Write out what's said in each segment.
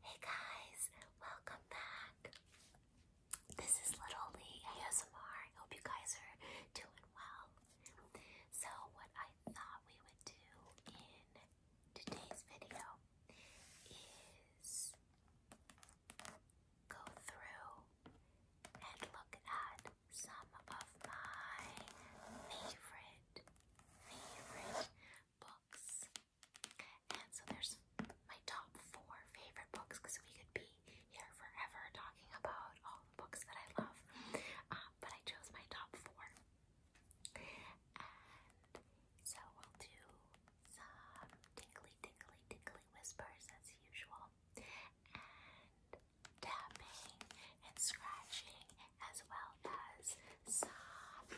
Hey guys, welcome back. This is Little Lee ASMR. I hope you guys are doing well. So, what I thought we would do in today's video is go through and look at some of my favorite, favorite books. And so there's my top four favorite books because we could be here forever talking about all the books that I love. Uh, but I chose my top four. so we'll do some tingly, tingly, tingly whispers as usual. And tapping and scratching as well as some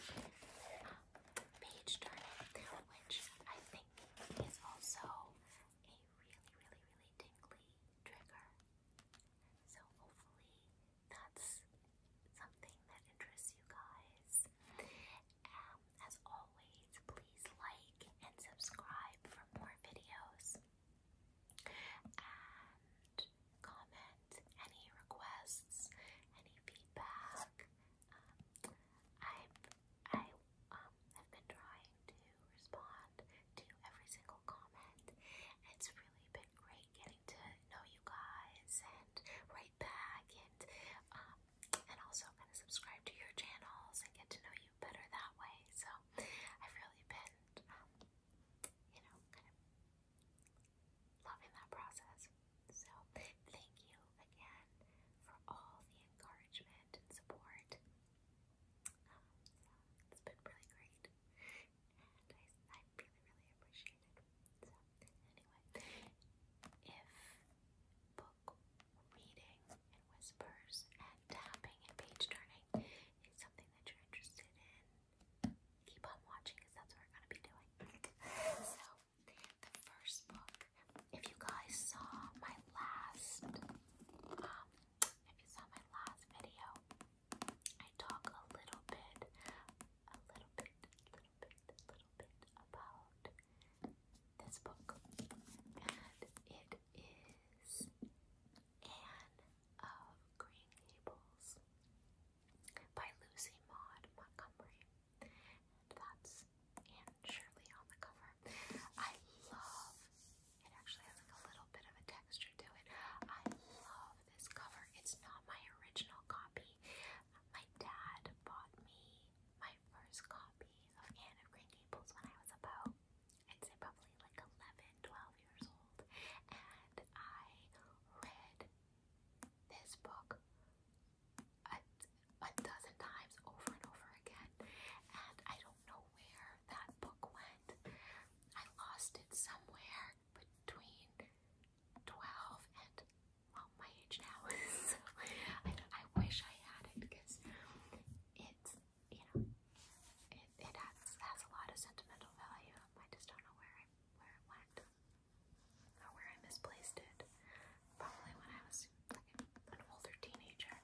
page turning, which I think is also a really, really, really tingly trigger. So hopefully that's something that interests you guys. Um, as always, please like and subscribe for more videos comment, any requests, any feedback. Um, I've, I um, have been trying to respond to every single comment. It's really been great getting to know you guys and write back and um, and also kind of subscribe to your channels and get to know you better that way. So I've really been, um, you know, kind of loving that process. So, thank you again for all the encouragement and support. Um, it's been really great, and I, I really, really appreciate it. So, anyway, if book reading and whispers and tapping and page turning is something that you're interested in, keep on watching that's what we're gonna be doing. so the first book, if you guys saw my last um, if you saw my last video, I talk a little bit, a little bit, little bit, little bit about this book. And it is Anne of Green Gables by Lucy Maud Montgomery. that's Anne Shirley on the cover. I love it actually has like a little bit of a texture to it. I love this cover. It's not my original copy. My dad bought me my first copy of Anne of Green Gables when I was about I'd say probably like 11, years old. And I read this book a, a dozen times over and over again, and I don't know where that book went. I lost it somewhere between 12 and well, my age now. so I, I wish I had it because it's, you know, it, it has, has a lot of sentimental value. I just don't know where, where it went where I misplaced it. Probably when I was an older teenager.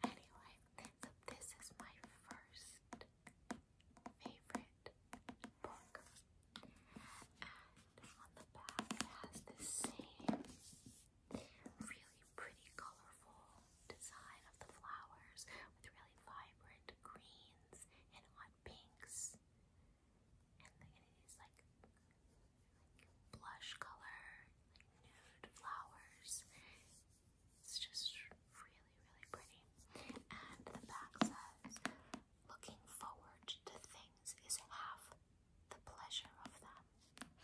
Anyway, so this is my first favorite book. And on the back it has this same really pretty colorful design of the flowers with really vibrant greens and hot pinks and, it is like blush color, like nude flowers. It's just really, really pretty. And the back says, looking forward to things is half the pleasure of them.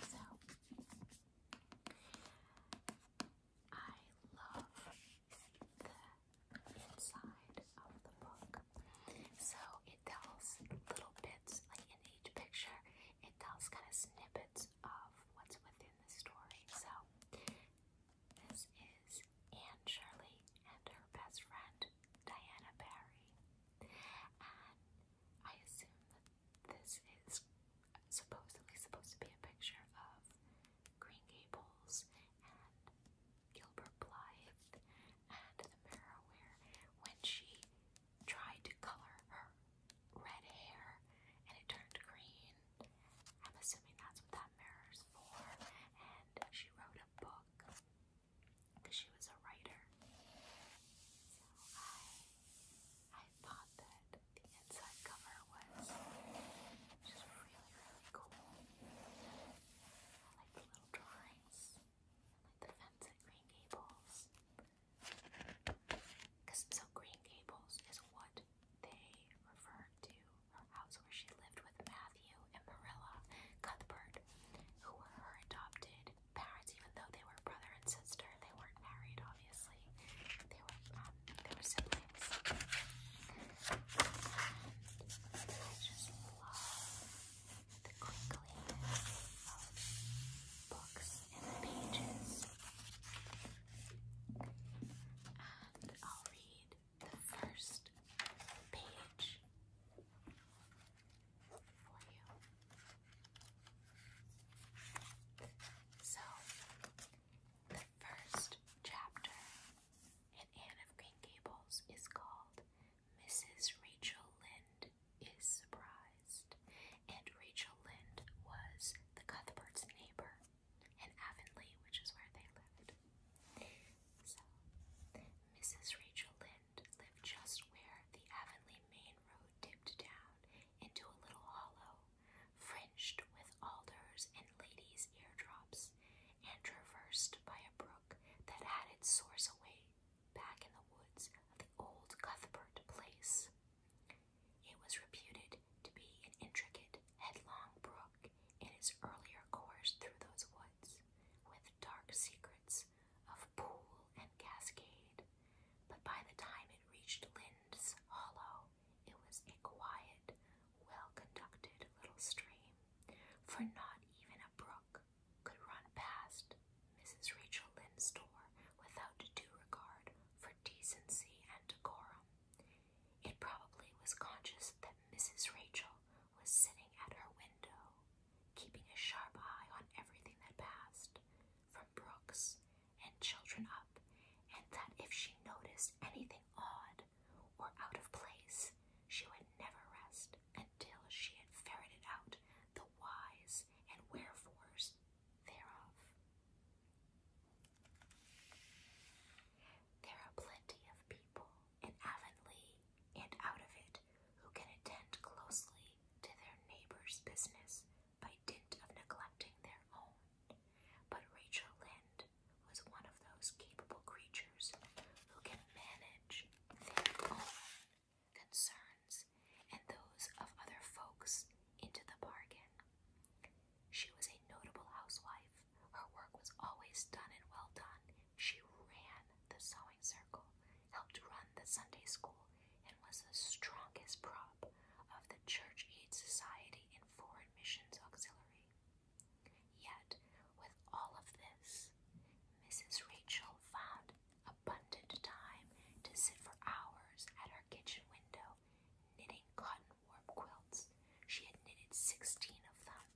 So I love the inside of the book. So it tells little bits, like in each picture, it tells kind of snippets of what's within the story. So this is Anne Shirley and her best friend, Diana Barry. And I assume that this is supposedly supposed to be a picture of Green Gables and Gilbert Blythe and the mirror when she tried to color her red hair and it turned green. I'm assuming that's what that mirror's for. And she wrote a book because she was a writer. So I I thought that the inside cover was just really, really cool. I like the little drawings. I like the fence at Green Gables. Because so Green Gables is what they referred to her house where she lived with Matthew and Marilla Cuthbert, who were her adopted parents, even though they were brother and sister. They weren't married, obviously. They were um, they were siblings. I just love the crinkliness of books and pages. And I'll read the first page for you. So, the first chapter and Anne of Green Gables is called, Mrs. Rachel Lynde is surprised, and Rachel Lynde was the Cuthberts' neighbor in Avonlea, which is where they lived. So, Mrs. Rachel Lynde lived just where the Avonlea main road dipped down into a little hollow, fringed with alders and ladies' eardrops, and traversed by a broad that had its source away back in the woods of the old Cuthbert place. It was reputed to be an intricate, headlong brook in its earlier course through those woods, with dark secrets of pool and cascade. But by the time it reached Lind's Hollow, it was a quiet, well conducted little stream, for not even a brook could run past Mrs. Rachel Lynde's door without due regard for decency and decorum. It probably was conscious that Mrs. Rachel was sitting at her window, keeping a sharp eye on everything that passed, from brooks and children up, and that if she noticed anything odd, or out of place, she would never rest until she had ferreted out the whys and wherefores thereof. There are plenty of people in Avonlea and out of it who can attend closely to their neighbor's business by dint of neglecting their own. But Rachel Lynde was one of those capable creatures who can manage their own concerns and those of other folks into the bargain. She was a notable housewife. Her work was always done and well done. She ran the sewing circle, helped run the Sunday school, and was the strongest prop of the Church Aid Society and Foreign Missions Auxiliary. Yet, with all of this, Mrs. Rachel found abundant time to sit for hours at her kitchen window knitting cotton warp quilts. She had knitted sixteen of them.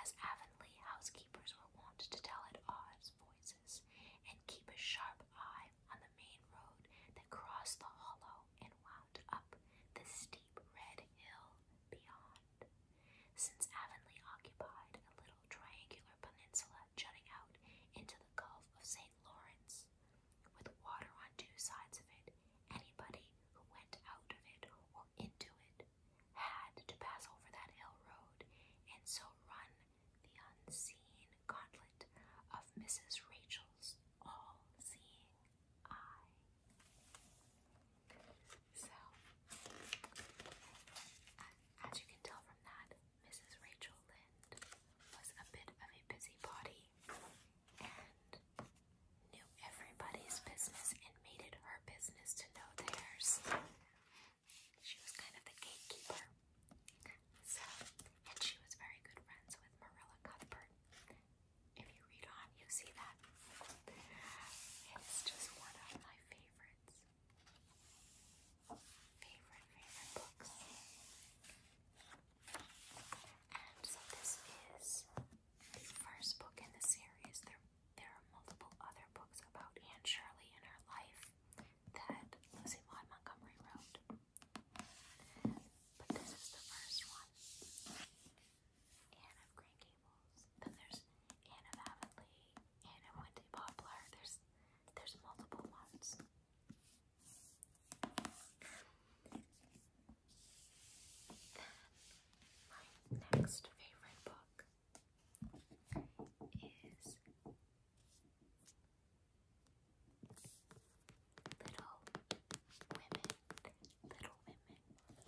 As Avonlea housekeepers were wont to tell at odd voices, and keep a sharp eye on the main road that crossed the hollow and wound up the steep red hill beyond. Since Avonlea occupied a little triangular peninsula jutting out into the Gulf of St. Lawrence, with water on two sides of it, anybody who went out of it or into it had to pass over that hill road and so run the unseen gauntlet of Mrs. Rachel's all seeing eye. So, as you can tell from that, Mrs. Rachel Lynde was a bit of a busybody and knew everybody's business and made it her business to know theirs. She was kind of the gatekeeper. So, and she was very good friends with Marilla Cuthbert, if you read on, you see that. It's just one of my favorites. Favorite, favorite books. And so this is the first book in the series. There, there are multiple other books about Anne Shirley and her life that Lucy Maud Montgomery wrote. But this is the first one. Anne of Green Gables. Then there's Anne of Avonlea, Anne of Windy Poplar. There's there's multiple ones. Then my next favorite book is Little Women Little Women,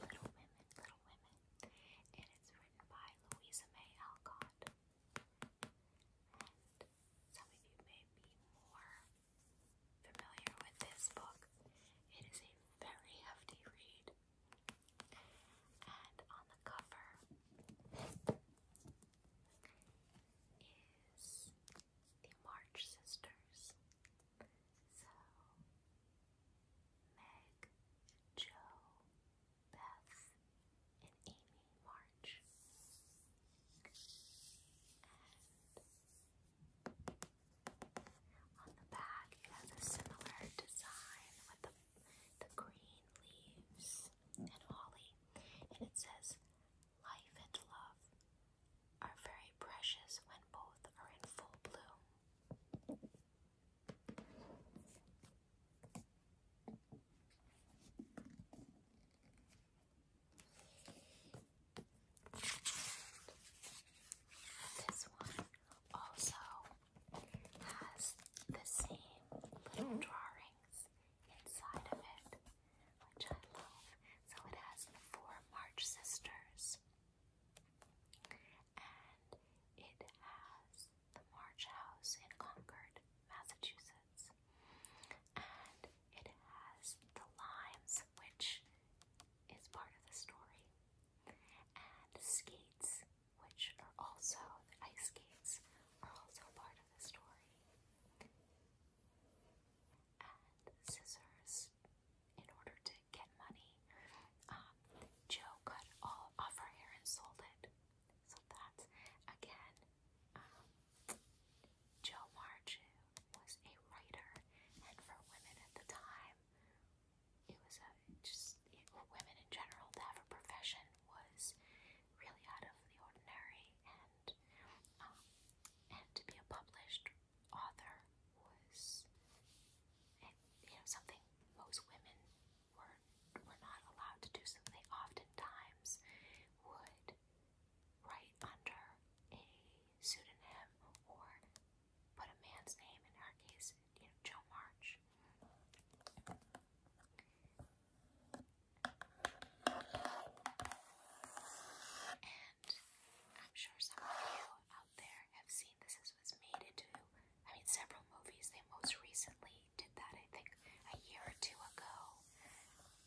Little Women, Little Women, and it's written by Louisa May Alcott. And some of you may be more familiar with this book. It is a very hefty read, and on the cover is the March Sisters. So, Meg, Joe, Beth, and Amy March. on the back, it has a similar design with the, the green leaves and holly, and it says, Life and love are very precious when both are in full bloom. This one also has the same little mm. drawings inside of it, which I love. So it has the four March sisters and it has the March House in Concord, Massachusetts, and it has the Limes, which is part of the story, and skates, which are also ice skates, are also part of the story, and scissors in order to get money. Um, Joe cut all off her hair and sold it. So that's again, um, Joe Marju was a writer, and for women at the time, it was a just it, women in general to have a profession was really out of the ordinary, and um, and to be a published author was, and, you know, something most women were were not allowed to do. So they oftentimes would write under a pseudonym or put a man's name. In our case, you know, Joe March. And I'm sure some of you out out there have seen this. This was made into, I mean, several movies. They most recently did that, I think, a year or two ago.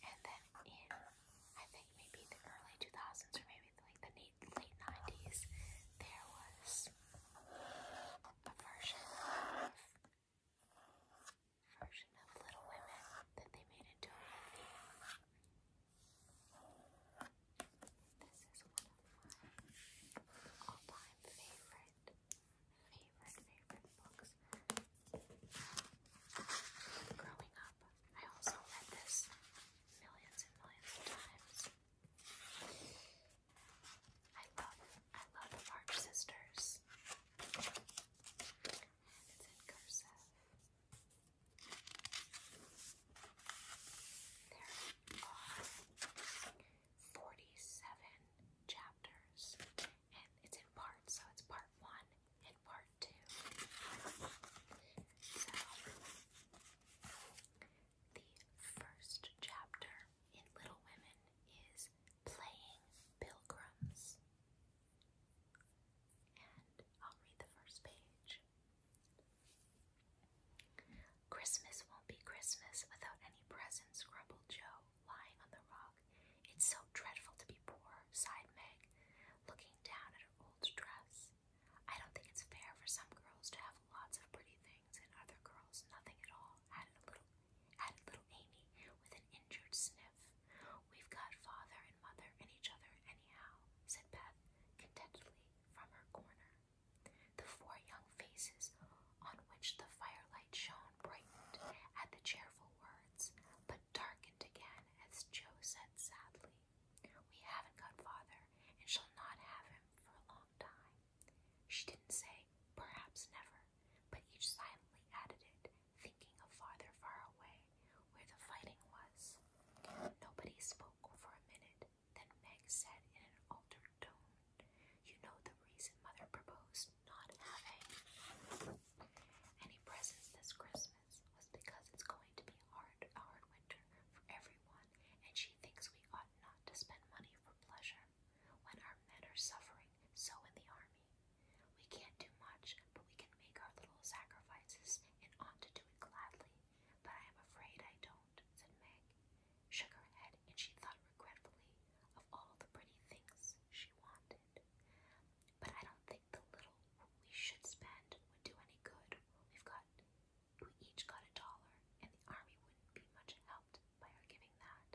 And then in, I think, maybe the early 2000s or maybe like the late, late 90s, there was a version of version of Little Women that they made into a movie. This is one of my all-time favorite, favorite, favorite books. Growing up, I also read this millions and millions of times. I love, I love the March Sisters. it's in cursive. There 47 chapters, and it's in parts, so it's part one and part two. So, the first chapter in Little Women is Playing Pilgrims. And I'll read the first page. Christmas won't be Christmas without any presents, grumbled Joe, lying on the rug. It's so dreadful to be poor, sighed Meg, looking down at her old dress. I don't think it's fair for some girls to have lots of pretty things and other girls nothing at all, added little added little Amy with an injured sniff. We've got father and mother and each other anyhow, said Beth contentedly from her corner. The four young faces on which the firelight shone brightened at the cheerful words, but darkened again as Joe said sadly, We haven't got father, and shall not have him for a long time. She didn't say, Perhaps never, but each silently added it, thinking of father far away, where the fighting was. Nobody spoke for a minute. Then Meg said in an altered tone, You know the reason Mother proposed not having any presents this Christmas was because it's going to be hard, a hard winter for everyone, and she thinks we ought not to spend money for pleasure when our men are suffering so in the army. We can't do much, but we can make our little sacrifices and ought to do it gladly. But I am afraid I don't said Meg. Shook her head, and she thought regretfully of all the pretty things she wanted. But I don't think the little we should spend would do any good. We've got, we each got a dollar, and the army wouldn't be much helped by our giving that.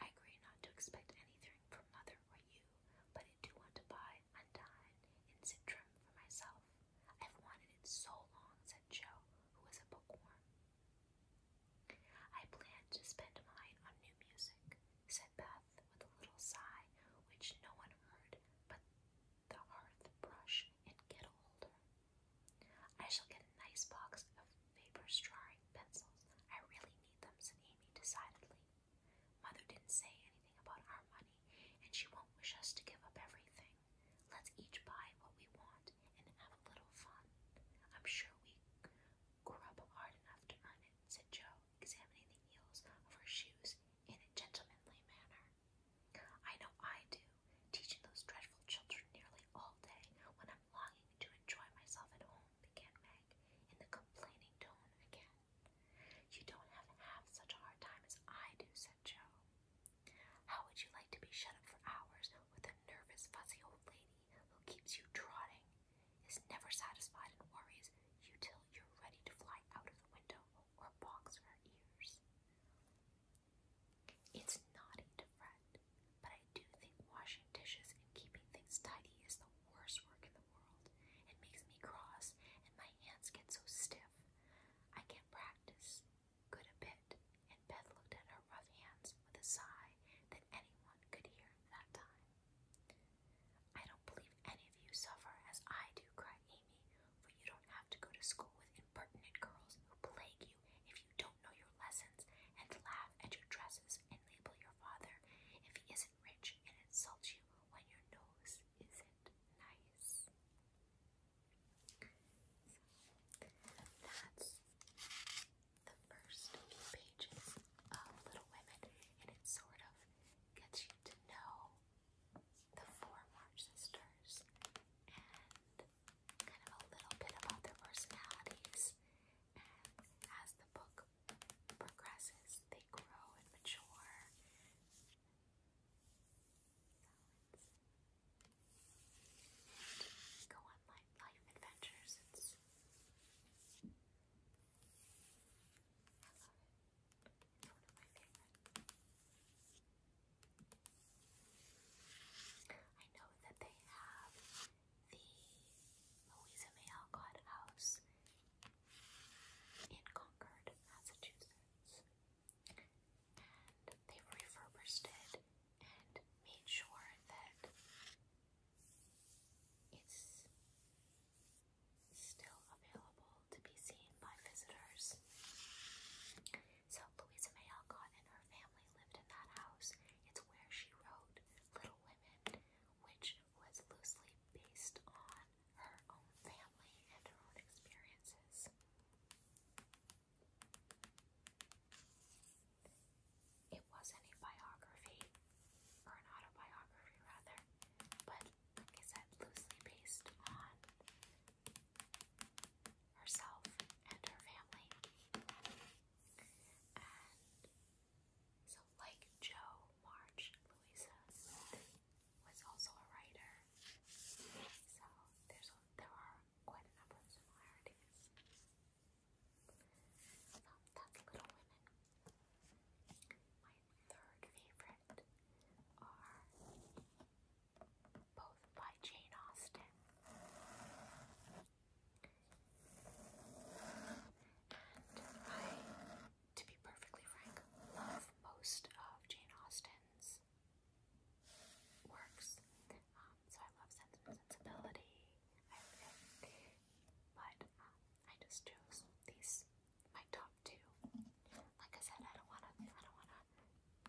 I agree not to expect anything from mother or you, but I do want to buy Undyne and Citrum for myself. I've wanted it so long, said Joe who is a bookworm. I plan to spend mine on new music, said Beth with a little sigh which no one heard but the hearth brush and kettle holder. I shall get a nice box of paper drawing pencils. I really need them, said Amy decidedly. Mother didn't say anything about our money, and she won't wish us to give up everything. Let's each buy what we want and have a little fun. I'm sure we grub hard enough to earn it, said Joe, examining the heels of her shoes in a gentlemanly manner. I know I do, teaching those dreadful children nearly all day when I'm longing to enjoy myself at home, began Meg, in the complaining tone again. You don't have half such a hard time as I do, said Joe. How would you like to be shut up for hours with a nervous, fussy old lady who keeps you trotting, is never satisfied, and worries you till you're ready to fly out of the window or box her ears? It's not a fret, but I do think washing dishes and keeping things tidy is the worst work in the world. It makes me cross, and my hands get so stiff. I can't practice good a bit, and Beth looked at her rough hands with a sigh that anyone could hear that time. I don't believe any of you suffer as I do, cried Amy, for you don't have to go to school with impertinent girls who plague you if you don't know your lessons and laugh at your dresses and label your father if he isn't rich and insult you when your nose isn't nice that's the first few pages of Little Women, and it sort of gets you to know the four March sisters and kind of a little bit about their personalities. And as the book progresses, they grow and mature balance. And go on life, adventures. I love it. It's one of my favorites. I know that they have the Louisa May Alcott House in Concord, Massachusetts and they refurbished it and made sure that it's still available to be seen by visitors. So Louisa May Alcott and her family lived in that house. It's where she wrote Little Women, which was loosely based on her own family and her own experiences. It wasn't a biography, or an autobiography rather, but like I said, loosely based on herself and her family. so, like Joe March, Louisa was also a writer. So there's there are quite a number that's Little Women. My third favorite both by Jane Austen. I, to be perfectly frank, love most of Jane Austen's works. Um, so I love Sensibility. but um, I just chose these my top two. Like I said, I don't wanna, I don't wanna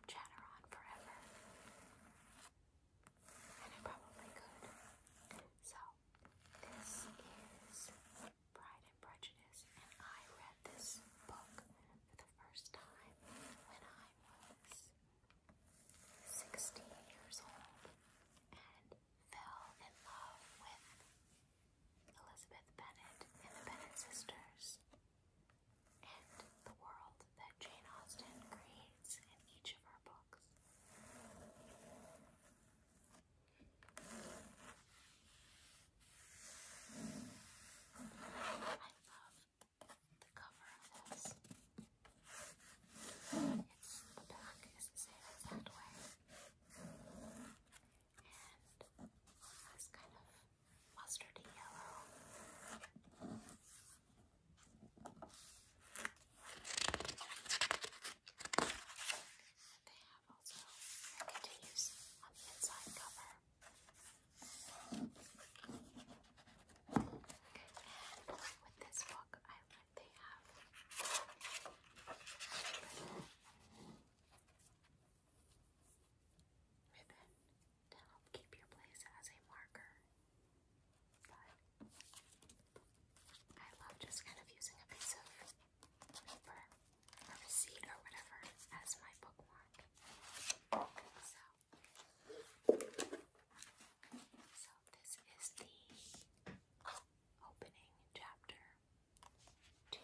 chatter on forever, and I probably could. So this is Pride and Prejudice, and I read this book for the first time when I was 16 years old and fell in love with Elizabeth Bennet and the Bennet sisters and the world that Jane Austen creates in each of her books. I love the cover of this. It's, back is the same exact way. And this kind of mustardy yellow. They have also continues on the inside cover. And with this book, I like they have ribbon, to help keep your place as a marker. But I love just kind of using a piece of paper or receipt or whatever as my bookmark. So so this is the opening chapter to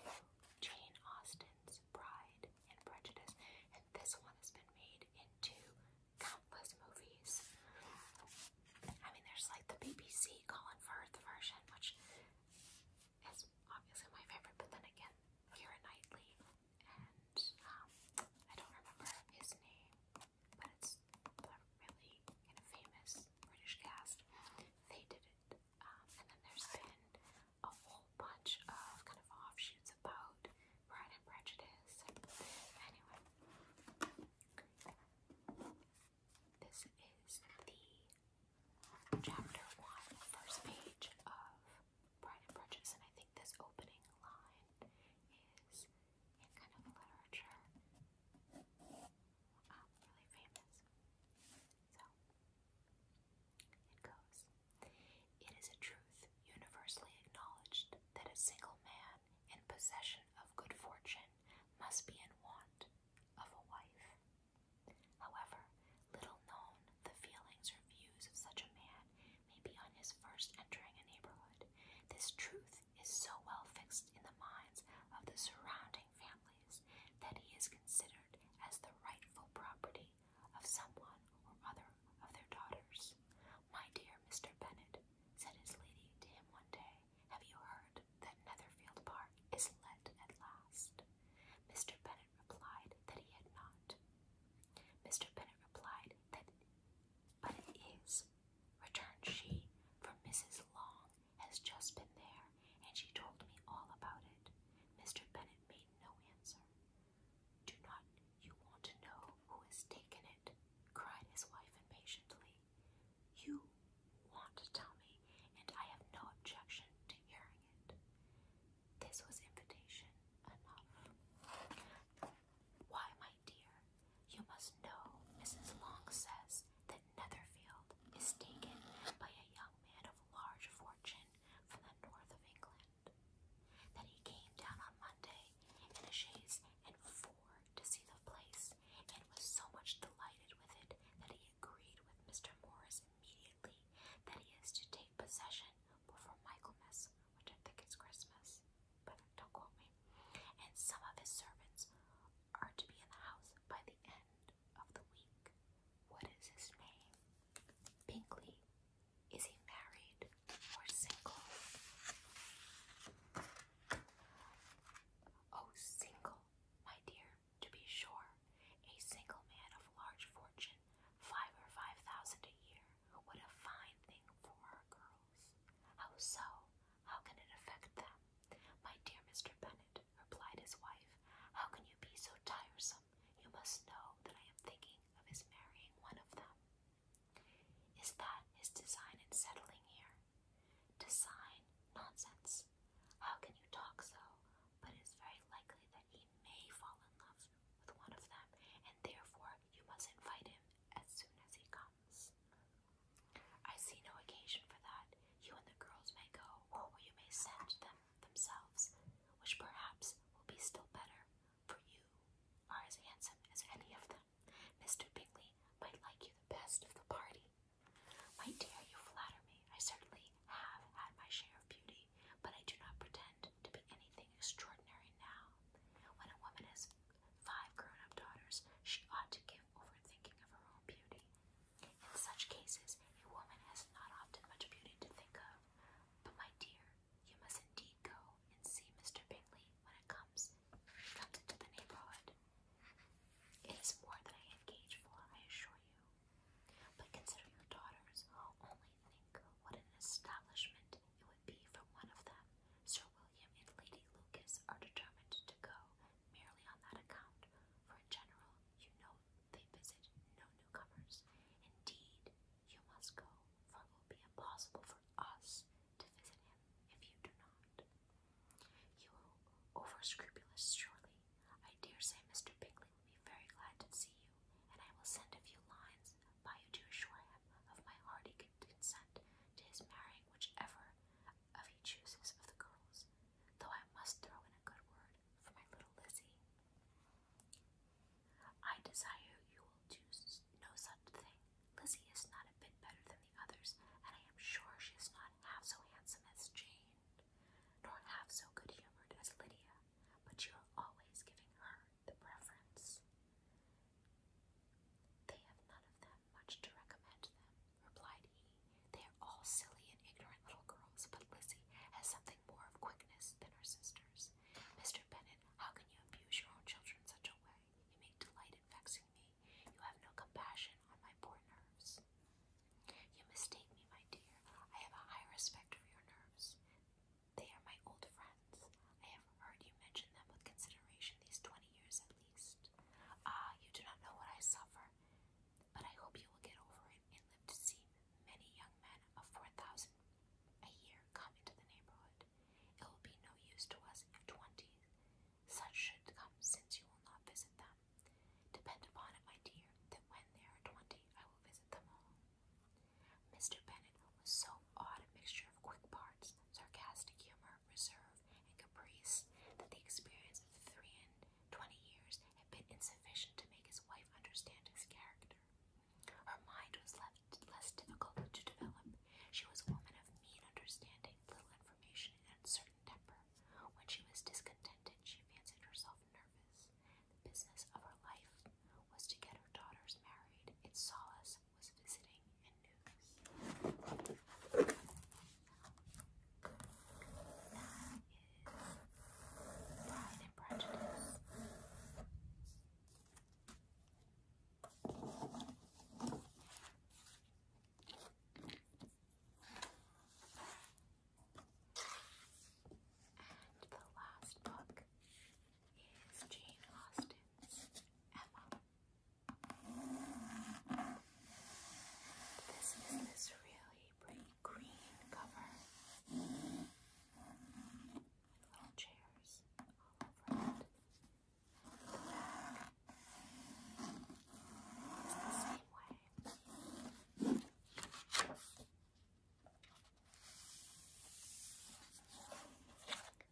Jane Austen's Pride and Prejudice, and this one has been made into countless movies. I mean, there's like the BBC Colin Firth version, which is obviously my favorite, but then again, Kira Knightley and um, I don't remember his name, but it's a really kind of famous British cast. They did it, um, and then there's been a whole bunch of kind of offshoots about Pride and Prejudice. Anyway, this is the chapter one, first page of Pride and Prejudice, and I think this opening line is in kind of literature um, really famous. So it goes. It is a truth universally acknowledged that a single man in possession of good fortune must be in want of a wife. However, little known the feelings or views of such a man maybe on his first entering a neighborhood. This truth is so well fixed in the minds of the surrounding families that he is considered as the rightful property of someone or other of their daughters. My dear Mr. Bennet, said his lady to him one day, have you heard that Netherfield Park is let at last? Mr. Bennet replied that he had not. Mr. Bennet replied that, but it is, returned she, for Mrs. Long has just been there, and she told me all about it. Mr. Bennet made no answer. Do not you want to know who has taken it? cried his wife impatiently. You want to tell me, and I have no objection to hearing it. This was invitation enough. Why, my dear, you must know, Mrs. Long says that Netherfield is taken by a young man of large fortune from the north of England. That he came down on Monday in a chaise and four to see the place, and was so much delighted with it that he agreed with Mr. Morris immediately that he is to take possession before Michaelmas, which I think is Christmas, but don't quote me. And some of his servants are to be in the house by the end of the week. What is his name? Bingley. Is he married or single? Oh, single, my dear, to be sure. A single man of large fortune Five or five thousand a year. would a fine thing for our girls. How so? How can it affect them? My dear Mr. Bennet, replied his wife, how can you be so tiresome? You must know that I am thinking of his marrying one of them. Is that his design in settling here? Design? Nonsense. How can you talk so? But it is very likely that he may fall in love with one of them, and therefore you must invite him as soon as he comes. I see no occasion for that. You and the girls may go, or you may send them themselves, which perhaps will be still better, for you are as handsome as any of them. Mr. Bingley might like you the best of the party. My dear, you flatter me. I certainly have had my share of beauty, but I do not pretend to be anything extraordinary now. When a woman has five grown up daughters, she ought to give over thinking of her own beauty. In such cases, a woman has not often much beauty to think of. But, my dear, you must indeed go and see Mr. Bingley when it comes, comes into the neighborhood. It is more than I engage for, I assure you. But consider your daughters. Only think what an establishment it would be from one of them. Sir William and Lady Lucas are determined to go merely on that account, for in general, you know they visit no newcomers. Indeed, you must go, for it will be impossible for us to visit him if you do not. You over scrupulous, surely. I dare say Mr. Bingley will be very glad to see you, and I will send a few lines by you to assure him of my hearty consent to his marrying whichever of he chooses of the girls, though I must throw in a good word for my little Lizzie. I desire you will do no such thing. Lizzie is not a bit better than the others, and I am sure she is not half so handsome as Jane, nor half so good humoured as Lydia, but you are always giving her the preference. They have none of them much to recommend them, replied he. They are all silly and ignorant little girls, but Lizzie has something more of quickness than her sisters. Mr. Bennet, how can you abuse your own children in such a way? You make delight in vexing me. You have no compassion on my poor nerves. You mistake me, my dear. I have a high respect for your nerves. They are my old friends. I have heard you mention them with consideration these twenty years at least. Ah, you do not know what I suffer, but I hope you will get over it and live to see many young men of four thousand a year come into the neighborhood. It will be no use to us if twenty such should come, since you will not visit them. Depend upon it, my dear, that when there are twenty, I will visit them all. Mr. Bennet was so odd a mixture of quick parts, sarcastic humor, reserve, and caprice that the experience of three and twenty years had been insufficient to make his wife understand his character. Her mind was left less difficult to develop. She was a woman of mean understanding, little information, and uncertain temper. When she was discontented, she fancied herself nervous. The business of her life was to get her daughters married. It saw us was visiting and news. That is Pride and Prejudice. And the last book is Jane Austen's Emma. This is this really pretty green cover. Little chairs all over it.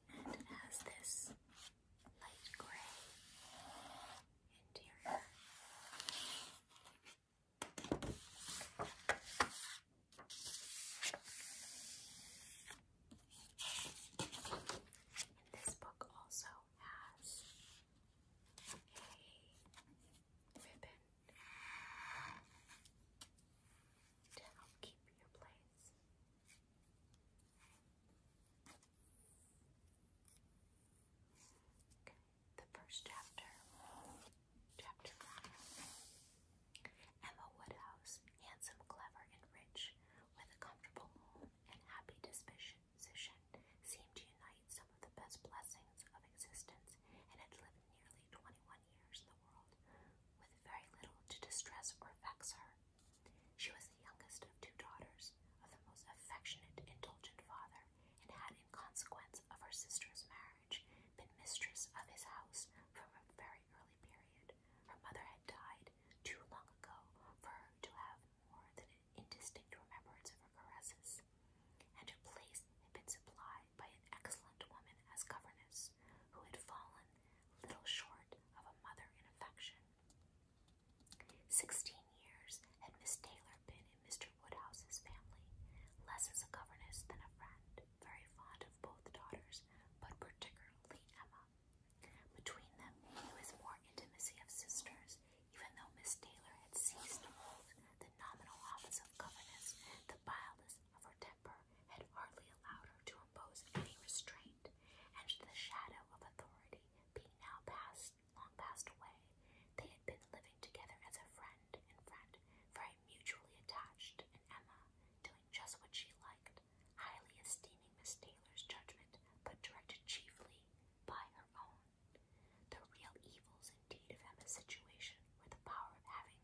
And it has this light gray interior. this book also has a ribbon to help keep your place. Okay, the first chapter, chapter one. Emma Woodhouse, handsome, clever, and rich, with a comfortable home and happy disposition, seemed to unite some of the best blessings of existence and had lived nearly 21 years in the world, with very little to distress or vex her. She was the youngest of two daughters, of the most affectionate, indulgent father, and had, in consequence of her sister's marriage, been mistress of his house from a very early period. Her mother had died too long ago for her to have more than an indistinct remembrance of her caresses, and her place had been supplied by an excellent woman as governess, who had fallen little short of a mother in affection. Sixteen years had Miss Taylor been in Mr. Woodhouse's family, less as a governess than a friend, very fond of both daughters, but particularly Emma. Between them there was more intimacy of sisters, even though Miss Taylor had ceased to hold the nominal office of governess, the vileness of her temper had hardly allowed her to impose any restraint, and the shadow of authority being now passed, long passed away, they had been living together as a friend and friend, very mutually attached, and Emma, doing just what she liked, highly esteeming Miss Taylor's judgment, but directed chiefly by her own. The real evils, indeed, of Emma's situation were the power of having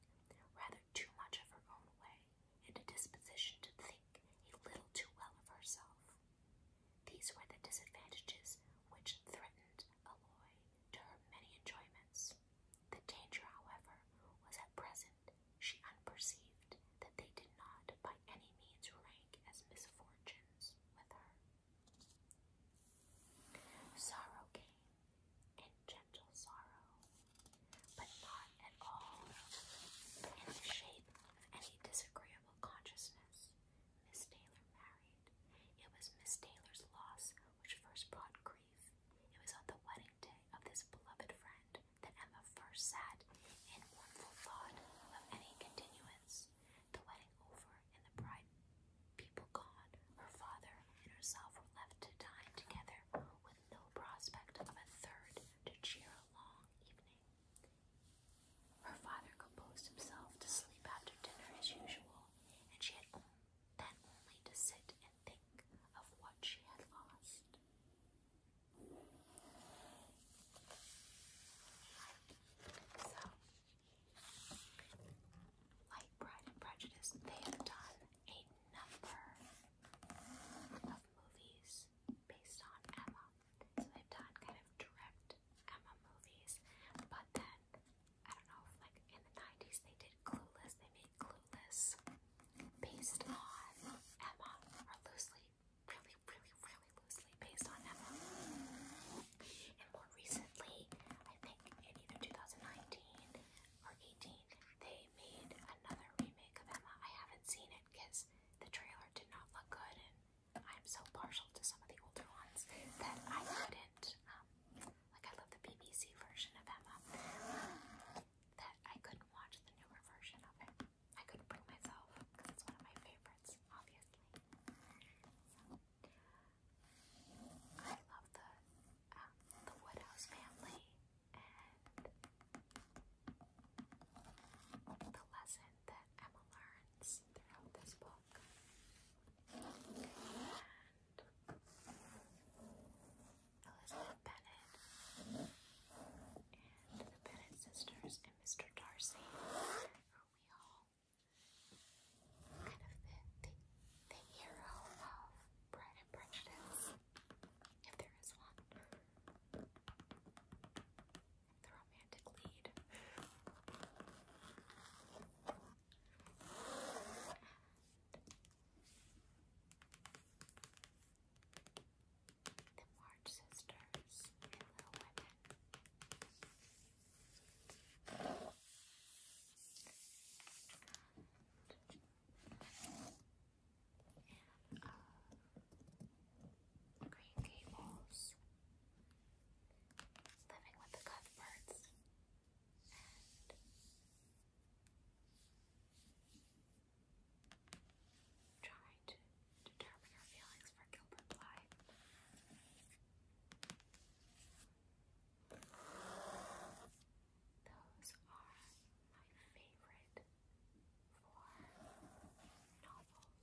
rather too much of her own way, and a disposition to think a little too well of herself. These were the disadvantages which threatened Aloy to her many enjoyments. The danger, however, was at present she unperceived that they did not by any means rank as misfortunes with her. Sorrow came and gentle sorrow, but not at all in the shape of any disagreeable consciousness. Miss Taylor married. It was Miss Taylor's loss which first brought grief. It was on the wedding day of this beloved friend that Emma first sat in mournful thought of any continuance. The wedding over and the bride people gone, her father and herself were left to dine together with no prospect of a third to cheer a long evening. Her father composed himself to sleep after dinner as usual, and she had then only to sit and think of what she had lost. like Pride and Prejudice, they have done a number of movies based on Emma. So they've done kind of direct Emma movies, but then I don't know like in the 90s they did Clueless, they made Clueless based on Emma, or loosely, really, really, really loosely based on Emma. And more recently, I think either 2019 or 18, they they made another remake of Emma. I haven't seen it because the trailer did not look good, and I'm so partial to some of the older ones that I couldn't. Um, like I love the BBC version of Emma, um, that I couldn't watch the newer version of it. I couldn't bring myself because it's one of my favorites, obviously. I love the um, the Woodhouse family and the lesson that Emma learns throughout this book. And Elizabeth Bennet and the Bennet sisters and Mr. Darcy, who we all kind of the, the, the hero of Pride and Prejudice if there is one. The romantic lead. the March Sisters and Little Women and uh, Green Gables, Living with the Cuthberts, and trying to determine her feelings for Gilbert Blythe. Those are my favorite four novels.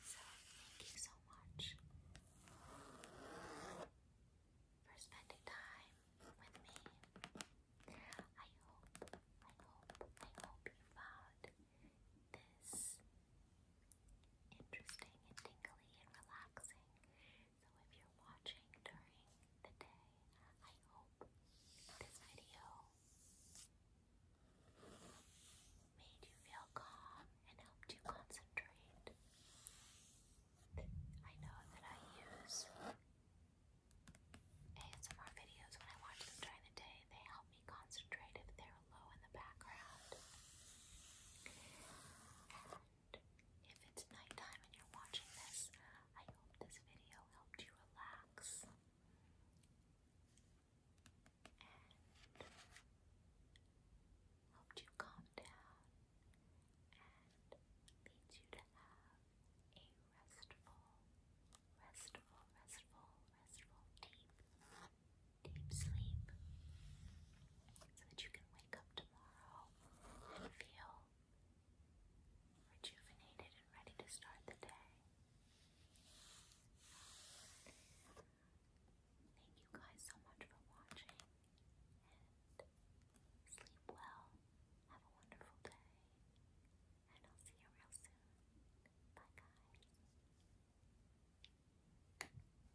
So, thank you so much for spending time with me. I hope, I hope, I hope you found this interesting and tingly and relaxing. So if you're watching during the day, I hope this video made you feel calm and helped you concentrate. I know that I use ASMR videos when I watch them during the day. They help me concentrate if they're low in the background. If it's nighttime and you're watching this, I hope this video helped you relax. helped you calm down and leads you to have a restful, restful, restful, restful, deep deep sleep so that you can wake up tomorrow feel rejuvenated and ready to start the day. Thank you guys so much for watching and sleep well. Have a wonderful day and I'll see you real soon. Bye guys.